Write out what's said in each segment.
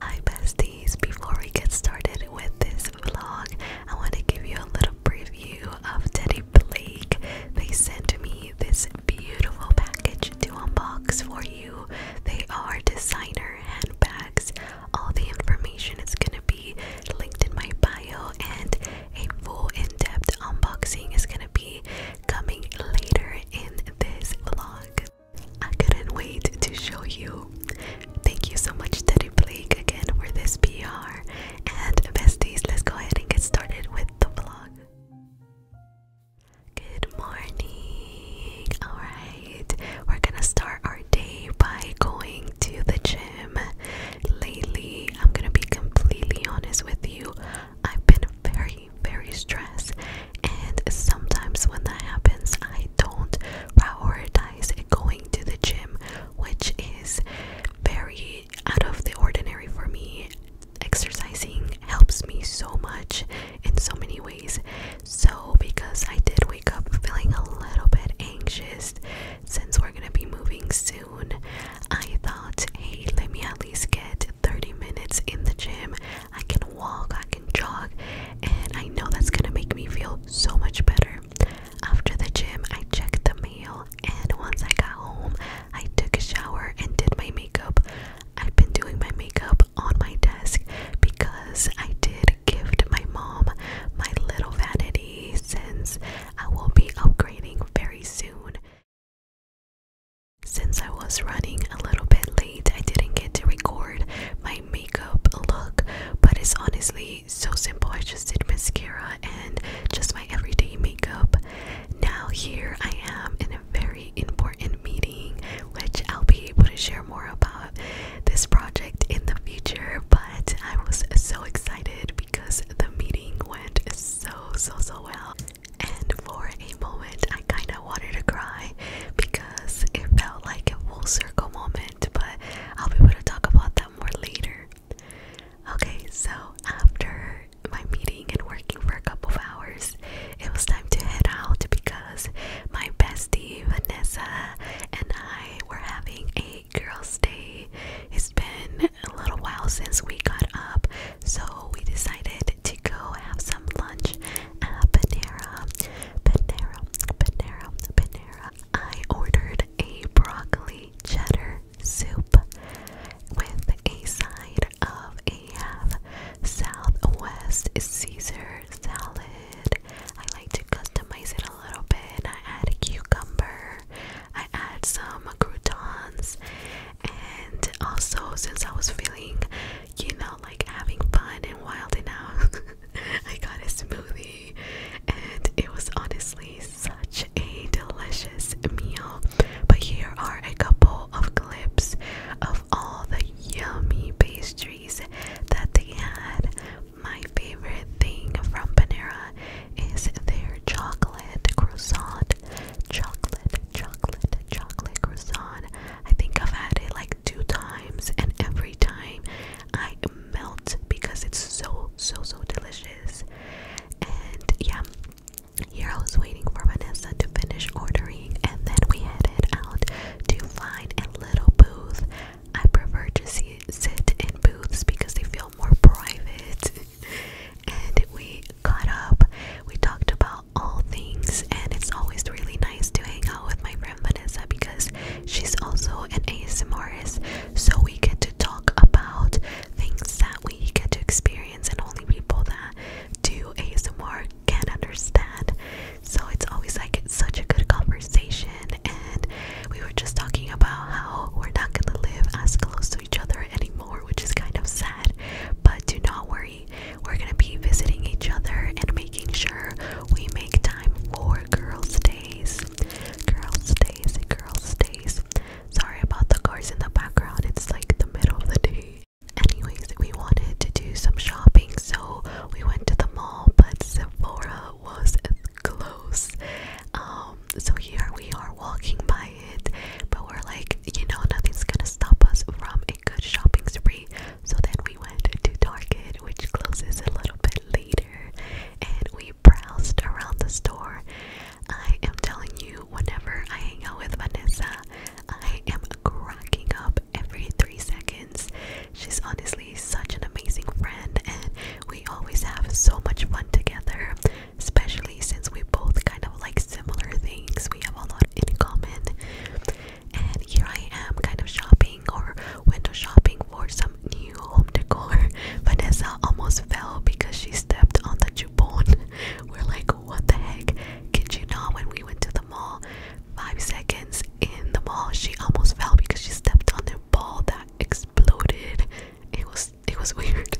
Hi besties, before we get started with this vlog, I want to give you a little preview of Teddy Blake. They sent me this beautiful package to unbox for you. They are designer handbags. All the information is going to be linked in my bio and a full in-depth unboxing is going to be coming later in this vlog. I couldn't wait to show you. Thank you so much, Teddy Blake, again for this PR. And besties, let's go ahead and get started with the vlog. Good morning. Alright, we're gonna start our day by going to the gym. Lately, I'm gonna be completely honest with you. I've been very very, stressed. And sometimes when that happens, I don't prioritize going to the gym, which is very out of the ordinary for me. Exercising helps me so much in so many ways. So, because I did wake up feeling a little bit anxious since we're gonna be moving soon, I thought hey, let me at least get 30 minutes in the gym. I can walk, I can jog, and I know that's gonna make me feel so much better. After the gym, I checked the mail, and once I got home, I took a shower and did my makeup. I've been doing my makeup on my desk because I did gift my mom my little vanity since I will be upgrading very soon. Since I was running a little bit late, I didn't get to record my makeup look, but it's honestly so simple. I just did mascara and just my everyday makeup. Now, here I am in a very important meeting, which I'll be able to share more about this project in the future. But I was so excited because the meeting went so so so well and for a moment I kind of wanted to cry because it felt like a full circle moment, but I'll be able to talk about that more later. Okay, so after my meeting and working for a couple of hours, it was time to head out because my bestie Vanessa and I were having a girls' day. It's been a little while since we got up, so we decided to go have some lunch at Panera. Panera, Panera, Panera. I ordered a broccoli cheddar soup with a side of a half Southwest Caesar salad. I like to customize it a little bit. I add a cucumber, I add some croutons, and also since I was feeling you know like having fun and wild enough, I got a smoothie and it was honestly such a delicious meal but here are a couple of clips of all the yummy pastries that they had my favorite thing from Panera is their chocolate croissant chocolate, chocolate, chocolate, croissant. I think I've had it like two times, and every time I melt because it's so, so, so delicious. And yeah, here I was waiting for Vanessa to finish ordering, and then we headed out to find a little booth. I prefer to see, sit in booths because they feel more private. and we got up, we talked about all things, and it's always really nice to hang out with my friend Vanessa because she's also an ASMRist, so we get to talk about things that we get to experience, and only people that do ASMR can understand. So it's always like such a good conversation, and we were just talking about how we're not gonna live as close to each other anymore, which is kind of sad. But do not worry, we're gonna be visiting each other and making sure we make time for girls' days. Girls' days, girls' days. Sorry about the cars in the background, it's like the middle of the day. Anyways, we wanted to do some shopping, so we went to the mall, but Sephora was close. Um, so here we are walking by but we're like, you know, nothing's gonna stop us from a good shopping spree. So then we went to Target, which closes a little bit later, and we browsed around the store. I am telling you, whenever I hang out with Vanessa, I am cracking up every three seconds. She's honestly such an amazing friend, and we always have so much fun together especially since we both kind of like similar things. We have a lot in common. And here I am kind of shopping or window shopping for some new home decor. Vanessa almost fell because she stepped on the jupon. We're like, what the heck? Did you not when we went to the mall? Five seconds in the mall, she almost fell because she stepped on the ball that exploded. It was it was weird.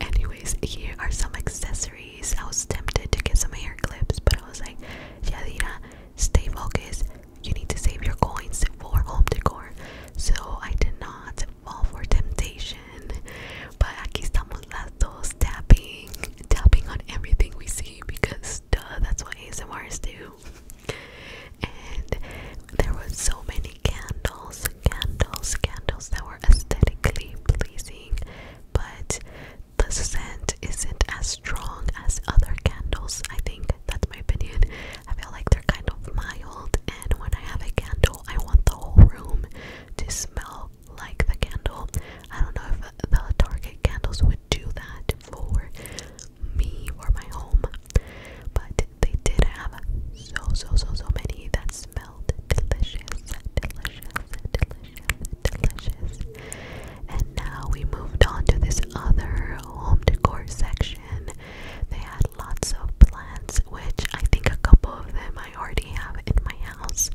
Anyways, here are some accessories. I was tempted to get some hair clips, but I was like, Yadira, stay focused. You need to save your coins for home decor. So I did not fall for temptation. But aquí estamos las dos tapping, tapping on everything we see because duh, that's what ASMRs do. And there were so many candles, candles, candles that were aesthetically pleasing, but the scent isn't as strong as other candles. I think that's my opinion. I feel like they're kind of mild, and when I have a candle, I want the whole room to smell like the candle. I don't know if the Target candles would do that for me or my home, but they did have so so so so many that smelled delicious, delicious, delicious. And now we moved on to this other home decor section. They had lots of plants, which I think a couple of them I already have in my house.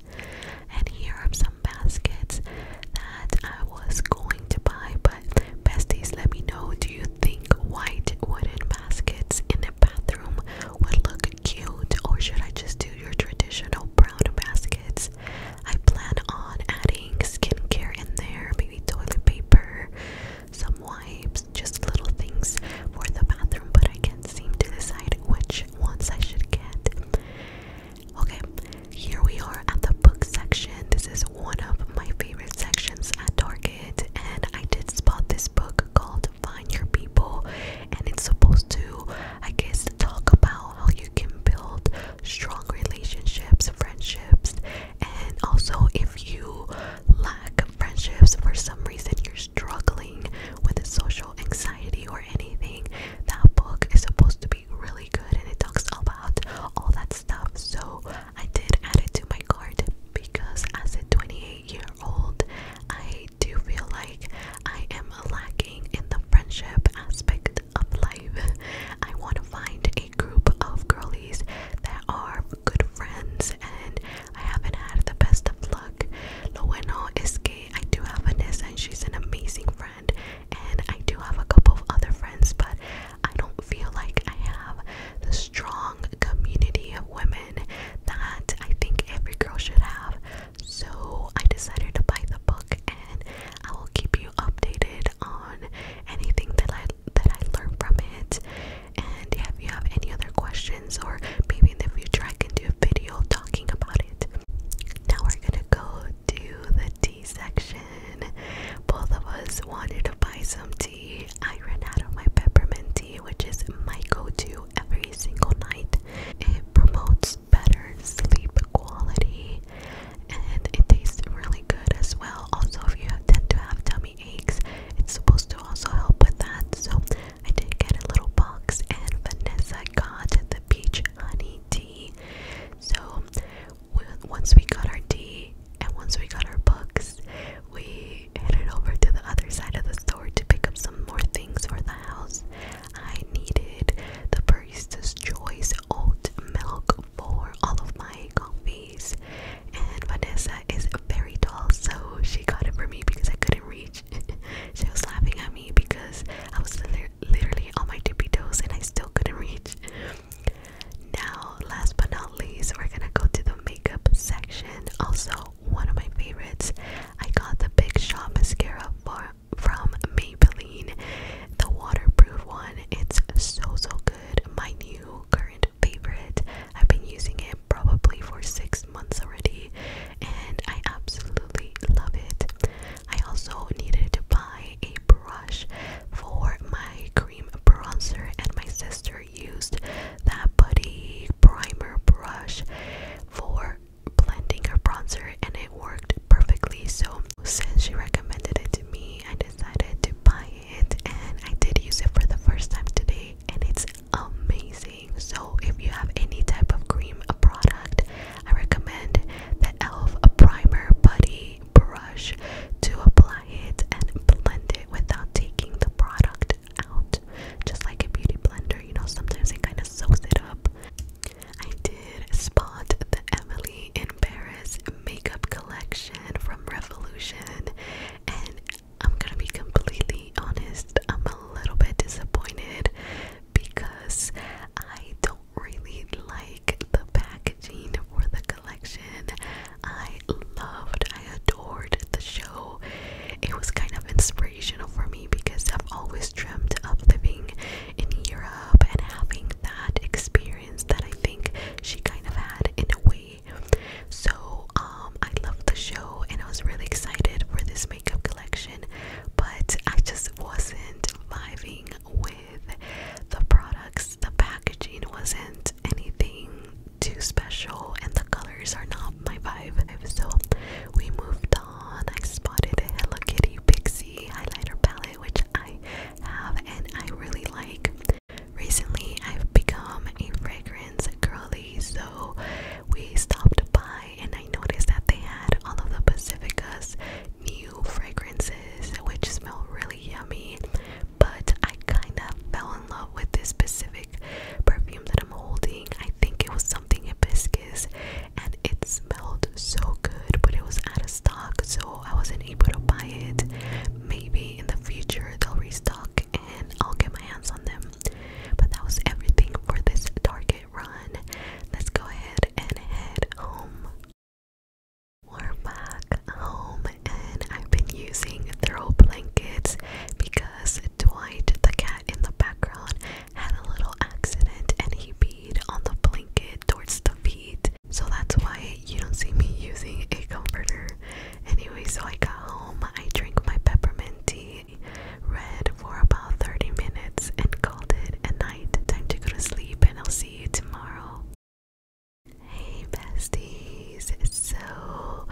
And here are some baskets that I was going to buy, but besties, let me know. Do you think white wooden baskets in a bathroom would look cute, or should I just do your traditional brown baskets? I plan on adding skincare in there, maybe toilet paper, some wipes, just little things for the bathroom, but I can't seem to decide which ones I should get. Okay, here we are at the book section. This is one of my favorite sections at Target, and I did spot this book called Find Your People and it's supposed to, I guess, talk about how you can build strong relationships, friendships, and also if you lack friendships for some reason, you're struggling with social anxiety or anything. That book is supposed to be really good and it talks about all that stuff. So I did add it to my card because I said 28 year old, I do feel like I am lacking in the friendship aspect of life. I want to find a group of girlies that are good friends, and I haven't had the best of luck. Lo bueno es I do have Vanessa, and she's an amazing friend, and I do have a couple of other friends, but I don't feel like I have the strong community of women that I think every girl should have. So I decided to buy the book, and I will keep you updated on anything that I that I learn from it. And if you have any other questions, or maybe in the future I can do a video talking about it. Now we're gonna go to the tea section. Both of us wanted to buy some tea. I ran out of my peppermint tea, which is my go-to every single night. It promotes better sleep quality and it tastes really good as well. Also, if you tend to have tummy aches, it's supposed to also help with that. So, I did get a little box, and Vanessa got the peach honey tea. So, once we got our tea and once we got our books, we I headed over to the other side of the store to pick up some more things for the house. I needed the Barista's Choice old milk for all of my coffees, and Vanessa is very tall, so she got it for me because I couldn't reach. she was laughing at me because I was literally on my tippy toes and I still couldn't reach. Now, last but not least, we're gonna go to the makeup section. Also, one of my favorites. I got the Big Shot mascara for, from Maybelline, the waterproof one. It's so so good. My new current favorite. I've been using it probably for six months already, and I absolutely love it. I also needed to buy a brush for my cream bronzer, and my sister used that buddy primer brush for blending her bronzer and it worked perfectly. So, since she recommended it to me, I decided to buy it and I did use it for the first time today and it's amazing. So, if you have any type of cream product, I recommend the e.l.f. primer buddy brush to apply it and blend it without taking the product out just like a beauty blender you know sometimes it kind of soaks it up I did spot the Emily in Paris makeup collection from Revolution and I'm gonna be completely honest I'm a little bit disappointed because I don't really like the packaging for the collection I loved I adored the show. It was kind of inspirational for me because I've always dreamt of living in Europe and having that experience that I think she kind of had in a way. So, um, I loved the show and I was really excited for this makeup collection, but I just wasn't vibing with the products. The packaging wasn't anything too special and the colors are not my vibe. So we moved on. I spotted a Hello Kitty Pixie highlighter palette, which I have and I really like. Recently, I've become a fragrance girly, so we stopped by and I noticed that they had all of the Pacifica's new fragrances, which smell really yummy. But I kind of fell in love with this specific perfume that I'm holding. I think it was something hibiscus and it smelled so good, but it was out of stock, so I wasn't able to buy it. Maybe in the future they'll restock and I'll get my hands on them. But that was everything for this Target run. Let's go ahead and head home. We're back home and I've been using throw blankets because Dwight, the cat in the background, had a little accident and he peed on the blanket towards the feet. So that's why you don't see me using a comforter. Anyway, so I got home, I drank my peppermint tea, read for about 30 minutes, and called it a night. Time to go to sleep, and I'll see you tomorrow. Hey besties! So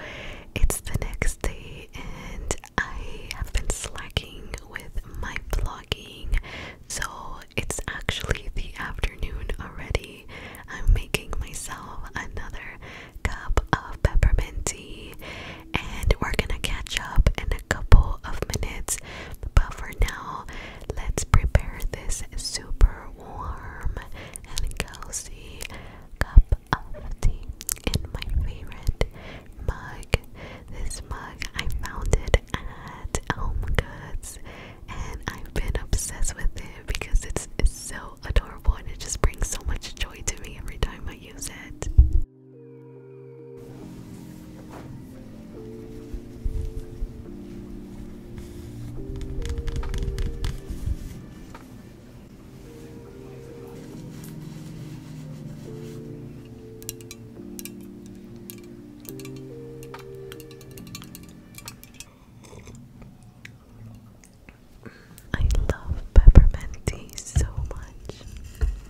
it's the next day, and I have been slacking with my vlogging, so it's actually the afternoon already. I'm making myself another cup of peppermint tea, and we're gonna catch up in a couple of minutes. But for now, let's prepare this super warm and cozy cup of tea in my favorite mug. This mug I found it at Home Goods and I've been obsessed with it because it's, it's so adorable and it just brings so much joy to me every time I use it. I love peppermint tea so much.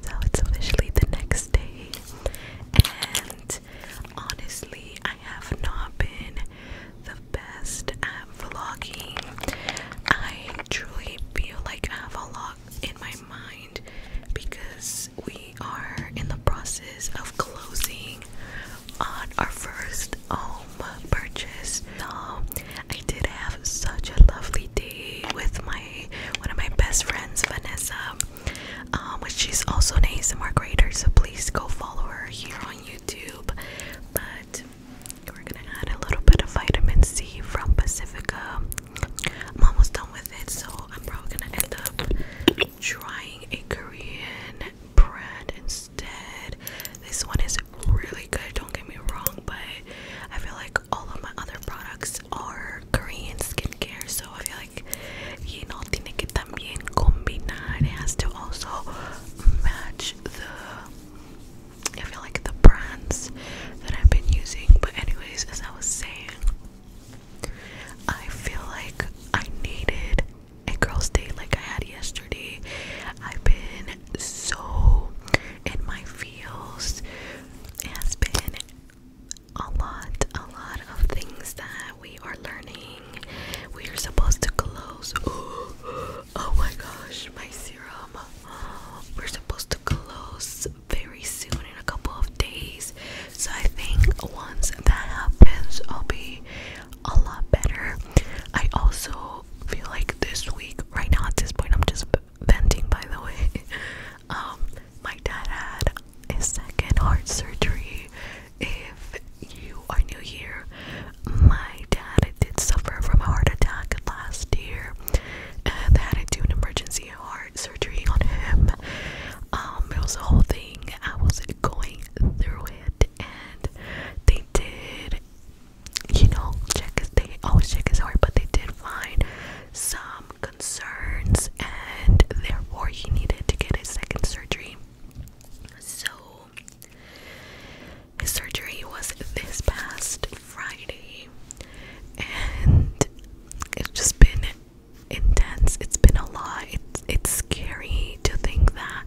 So it's officially the next day, and honestly, I have not been the best vlogging. I truly feel like I have a lot in my mind because we are in the process of closing on our first home purchase. So I did have such a lovely day with my one of my best friends, Vanessa. Um, which she's also an ASMR creator, so please go follow her here on YouTube. But we're gonna add a little bit of vitamin C from Pacifica. I'm almost done with it, so I'm probably gonna end up trying a Korean brand instead. This one is really good, don't get me wrong, but I feel like all of my other products are Korean skincare, so I feel like you know, tiene que también combinar. It has to also match the I feel like the brands that I've been using. But anyways, as I was saying, I feel like I needed a girl's day like I had yesterday. I've been so in my feels. has been a lot, a lot of things that we are learning. We are supposed to close. Oh my gosh, my serum. We're supposed to close very soon in a couple of days. So I think once that happens, I'll be a lot better. I also feel like this week, right now at this point, I'm just bending. by the way. Um, my dad had a second heart surgery. If you are new here, my dad did suffer from a heart attack last year and they had to do an emergency heart surgery on him. Um, it was a whole thing. I was going through it and they did you know check his they always check his heart but they did find some concerns and therefore he needed to get a second surgery. So his surgery was this past Friday, and it's just been intense. It's been a lot. It's it's scary to think that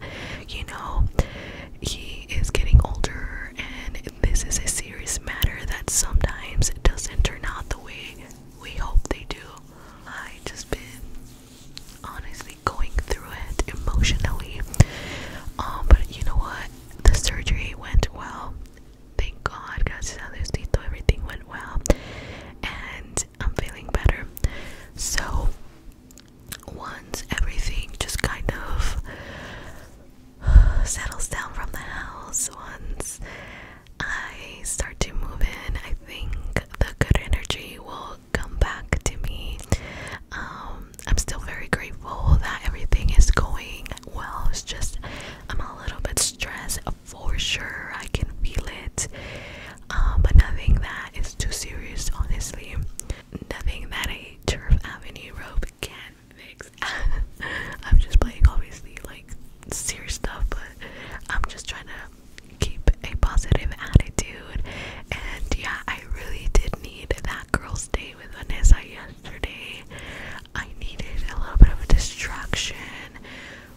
you know he is getting older, and this is a serious matter that sometimes doesn't turn out the way we hope they do. I just been honestly going through it emotionally. Um, but you know what? The surgery went well. Thank God, gracias a Diosito, everything went well, and I'm feeling better. So once everything just kind of settles down from the house, once I start to move in, I think the good energy will come back to me. Um, I'm still very grateful that everything is going well. It's just I'm a little bit stressed for sure. I can feel it, um, but nothing that is too serious, honestly. Nothing that a Turf Avenue robe can fix. I'm just playing, obviously, like serious stuff, but I'm just trying to keep a positive attitude. And yeah, I really did need need that girl's date with Vanessa yesterday. I needed a little bit of a distraction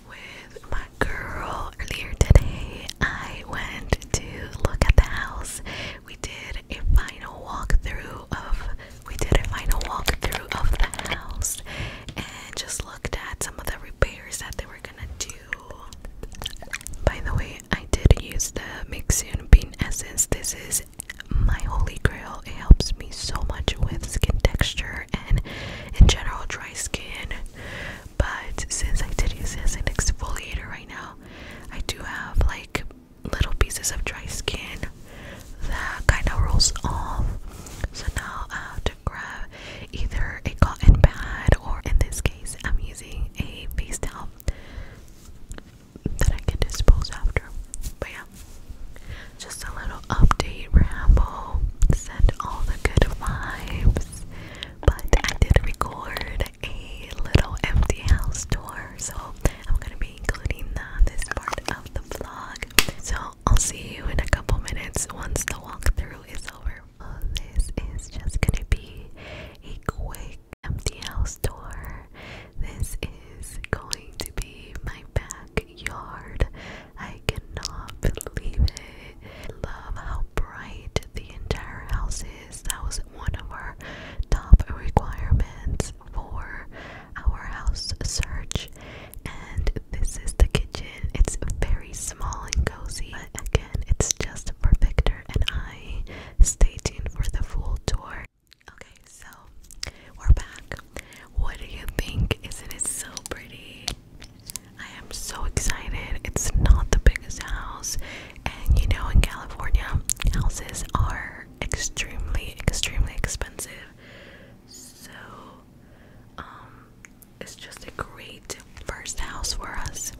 with my girl. Earlier today, I went to look at the house. We did a final walkthrough of we did a final walkthrough of the house and just looked at some of the repairs that they were gonna do by the way, I did use the Mixion Bean Essence. This is my holy grail. It helps me so much with skin texture and in general dry skin. But since I did use it as an exfoliator right now, I do have like little pieces of dry skin that kind of rolls off. So now I have to grab either a cotton pad or in this case I'm using a face towel that I can dispose after. But yeah, just a little update ramble. Send all the good vibes. But I did record a little empty house tour, so I'm gonna be including that this part of the vlog. So I'll see you in a couple minutes once the walkthrough is over. this is just gonna be a quick empty house tour. This is going to be my backyard. I cannot believe it. Love how bright the entire house is. That was one of our top requirements for our house search. And this is the kitchen. It's very small and cozy, but again, it's just for Victor and I. Stay tuned for the full tour. Okay, so we're back. What do you think? Isn't it so pretty? I am so excited. It's not the biggest house, and you know, in California, houses are extremely, extremely expensive. So, um, it's just a great first house for us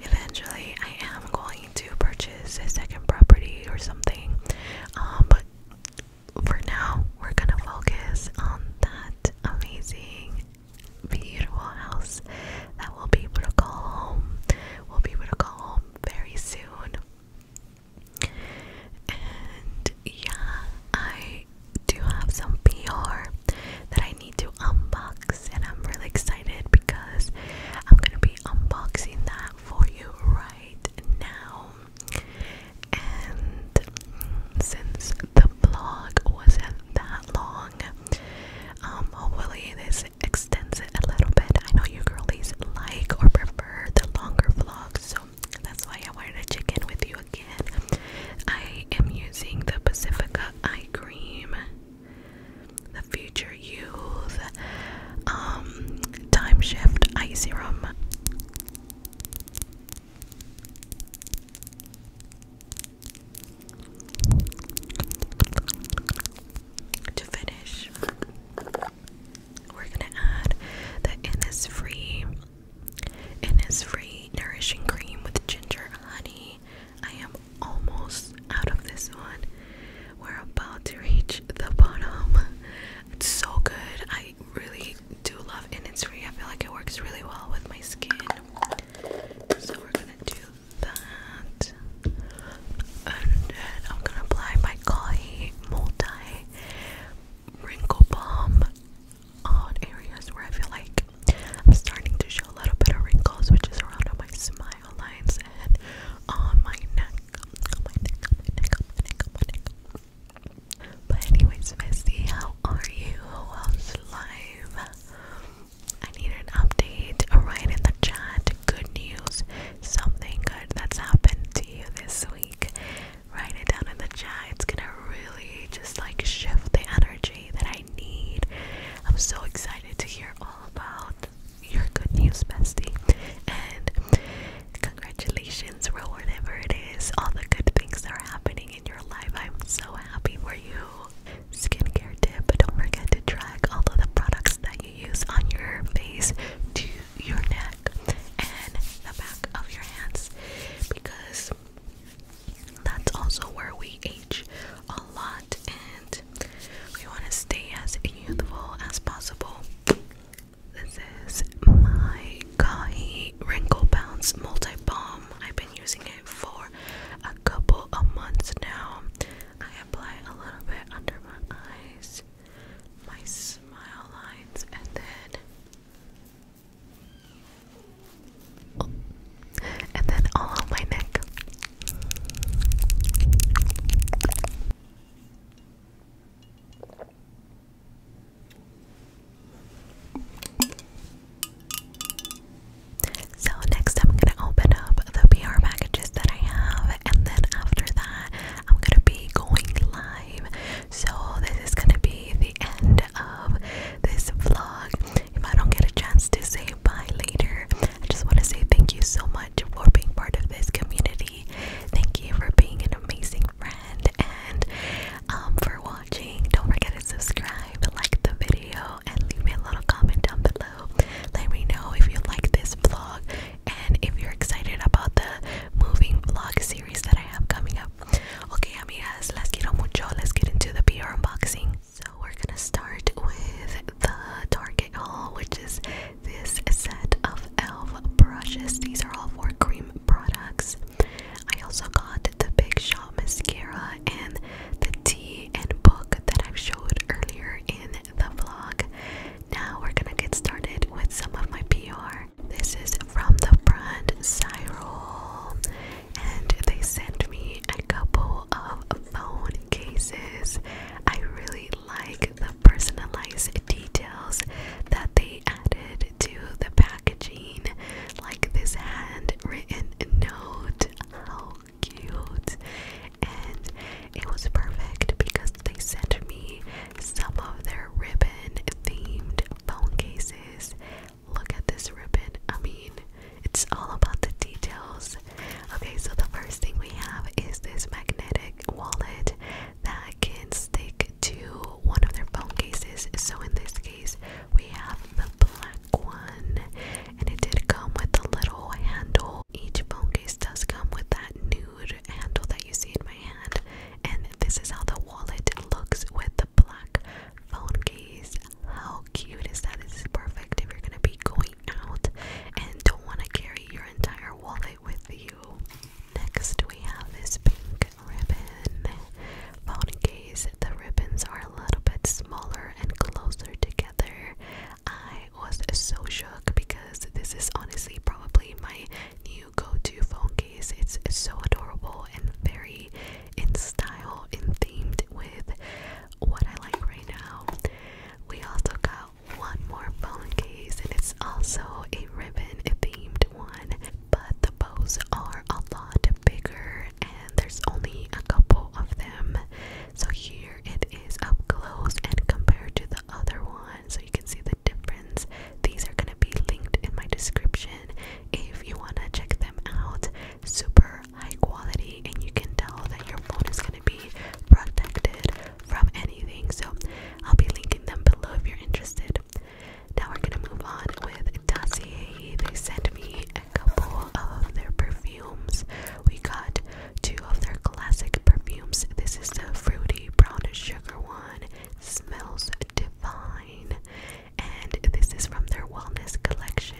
eventually I am going to purchase a second property or something. Um, but for now, we're gonna focus on that amazing, beautiful house that we'll be able to call home. We'll be able to call home very soon. And yeah, I do have some PR that I I need to unbox, and I'm really excited because I'm gonna be unboxing that for you right now. And since the vlog wasn't that long, um, hopefully this extends it a little bit. I know you girlies like or prefer the longer vlogs, so that's why I wanted to check in with you again. I am using the Pacifica eye cream the future youth, um, time shift eye serum. To finish, we're gonna add the Innisfree Innisfree Nourishing Cream with ginger, honey, I am almost out of this one. We're about to reach the bottom. It's so good. I really do love and it's free. I feel like it works really well with my skin. So we're gonna do that. And I'm gonna apply my Kahi Multi Wrinkle Balm on areas where I feel like I'm starting to show a little bit of wrinkles, which is around on my smile lines and on my neck. my neck, my neck, my neck, my neck. But anyways, Missy, how are you? How's life? I need an update. Write in the chat good news, something good that's happened to you this week. Write it down in the chat. It's gonna really just like shift the energy that I I need. I'm so excited to hear all about your good news, bestie. And congratulations for whatever it is, all the good things that are happening in your life. I'm so happy for you. Skincare tip, but don't forget to track all of the products that you use on your face to your neck and the back of your hands because that's also where we age a lot and we want to stay as youthful as possible. This is my Kahi Wrinkle Bounce Multi Balm. I've been using it for a couple of months now. I apply a little bit under my eyes, my smile lines, and then and then all on my neck. So, next, I'm gonna open up the PR packages that I have, and then after that, I'm gonna be going live. So, this is gonna be the end of this vlog. If I don't get a chance to say bye later. I just want to say thank you so much for being part of this community. Thank you for being an amazing friend and um, for watching. Don't forget to subscribe, like the video, and leave me a little comment down below. Let me know if you like this vlog and if you're excited about the moving vlog series that I have coming up. Okay, let amigas, las quiero mucho. Let's get into the PR unboxing. So we're gonna start with the Target haul, which is this set of e.l.f. brushes. These are all for cream products. I also got the Big Shot mascara and the tea and book that I showed earlier in the vlog. Now we're gonna get started with some of my PR. This is from the brand Cyril and they sent me a couple of phone cases. I really like the personalized details that they added to the packaging, like this handwritten note. How cute! And it was perfect because they sent me some of their ribbon themed phone cases. Look at this ribbon. I mean, it's all about the details. Okay, so the first thing we have is this magnetic wallet that can stick to one of their phone cases. So in this case, we have the black one, and it did come with a little handle. Each phone case does come with that nude handle that you see in my hand, and this is how the wallet looks with the black phone case. How cute is that? It's perfect if you're gonna be going out and don't want to carry your entire wallet with you. Next, we have this pink ribbon. Phone case, the ribbons are a little bit smaller and closer together. I was so shook because this is honestly probably my new go to phone case. It's so adorable and very in style and themed with what I like right now. We also got one more phone case, and it's also a ribbon themed one, but the bows are a lot bigger, and there's only a couple of them. So here it is up close and compared to the other one, so you can see the difference. These are gonna be linked in my description if you wanna check them out super high quality and you can tell that your phone is going to be protected from anything. So I'll be linking them below if you're interested. Now we're going to move on with Dossier. They sent me a couple of their perfumes. We got two of their classic perfumes. This is the fruity brown sugar one. Smells divine and this is from their wellness collection.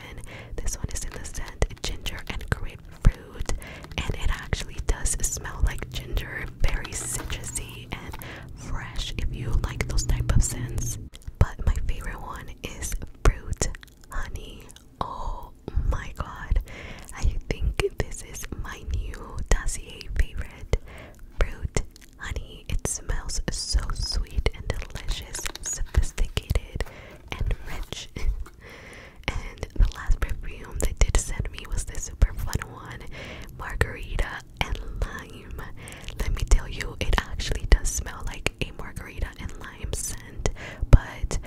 This one is in the scent ginger and grapefruit, and it actually does smell like ginger, very citrusy and fresh if you like those type of scents. But my favorite one is fruit honey. Oh my god, I think this is my new dossier favorite fruit honey. It smells so sweet and delicious, sophisticated and rich. and the last perfume they did send me was this super fun one, margarita and lime. Let me tell you, it actually does smell like a margarita and lime scent, but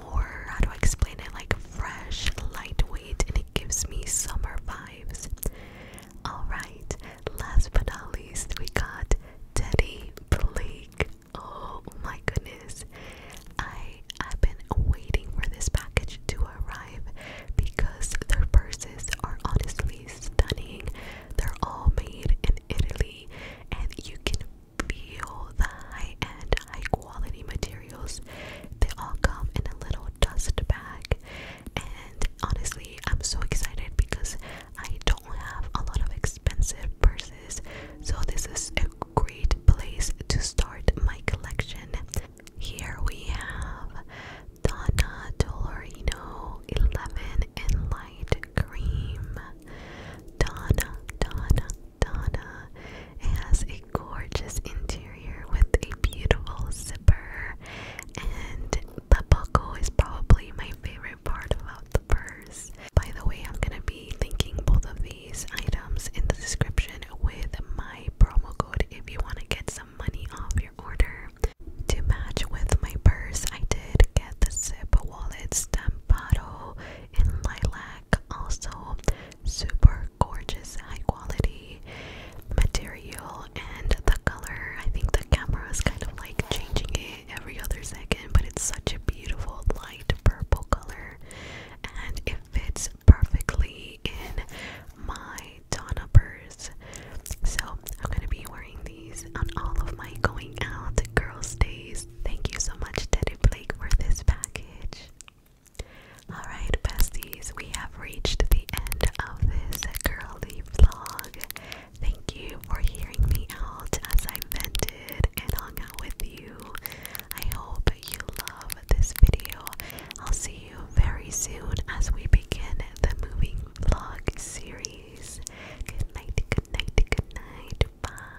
more how do I explain it? Like fresh, lightweight, and it gives me summer vibes. Alright, last but not least, we got Daddy Blake. Oh my goodness. I've been waiting for this package to arrive because their purses are honestly stunning. They're all made in Italy and you can feel the high-end, high-quality materials. They all come in a little dust bag and honestly I'm so excited because I don't have a lot of expensive purses, so this is a great place to start my collection. Here we have Donna Dolorino 11 in light cream. Donna, Donna, Donna. has a gorgeous interior with a beautiful zipper and the buckle is probably my favorite part about the purse. By the way, I'm gonna be linking both of these items in the description with my promo code if you want to get some money off your order. To match with my purse, I did get the zip wallet stampado in lilac, also super gorgeous, high quality material and the color. I think the camera is kind of like changing it every other second, but it's such a beautiful light purple color and it fits perfectly in my Donna purse. So I'm gonna be wearing these on all of my going out girls' days. Thank you so much, Teddy Blake, for this package. Alright, besties, we have reached the end of this girly vlog. Thank you for hearing me out as I vented and hung out with you. I hope you love this video. I'll see you very soon as we begin the moving vlog series. Good night, good night, good night. Bye.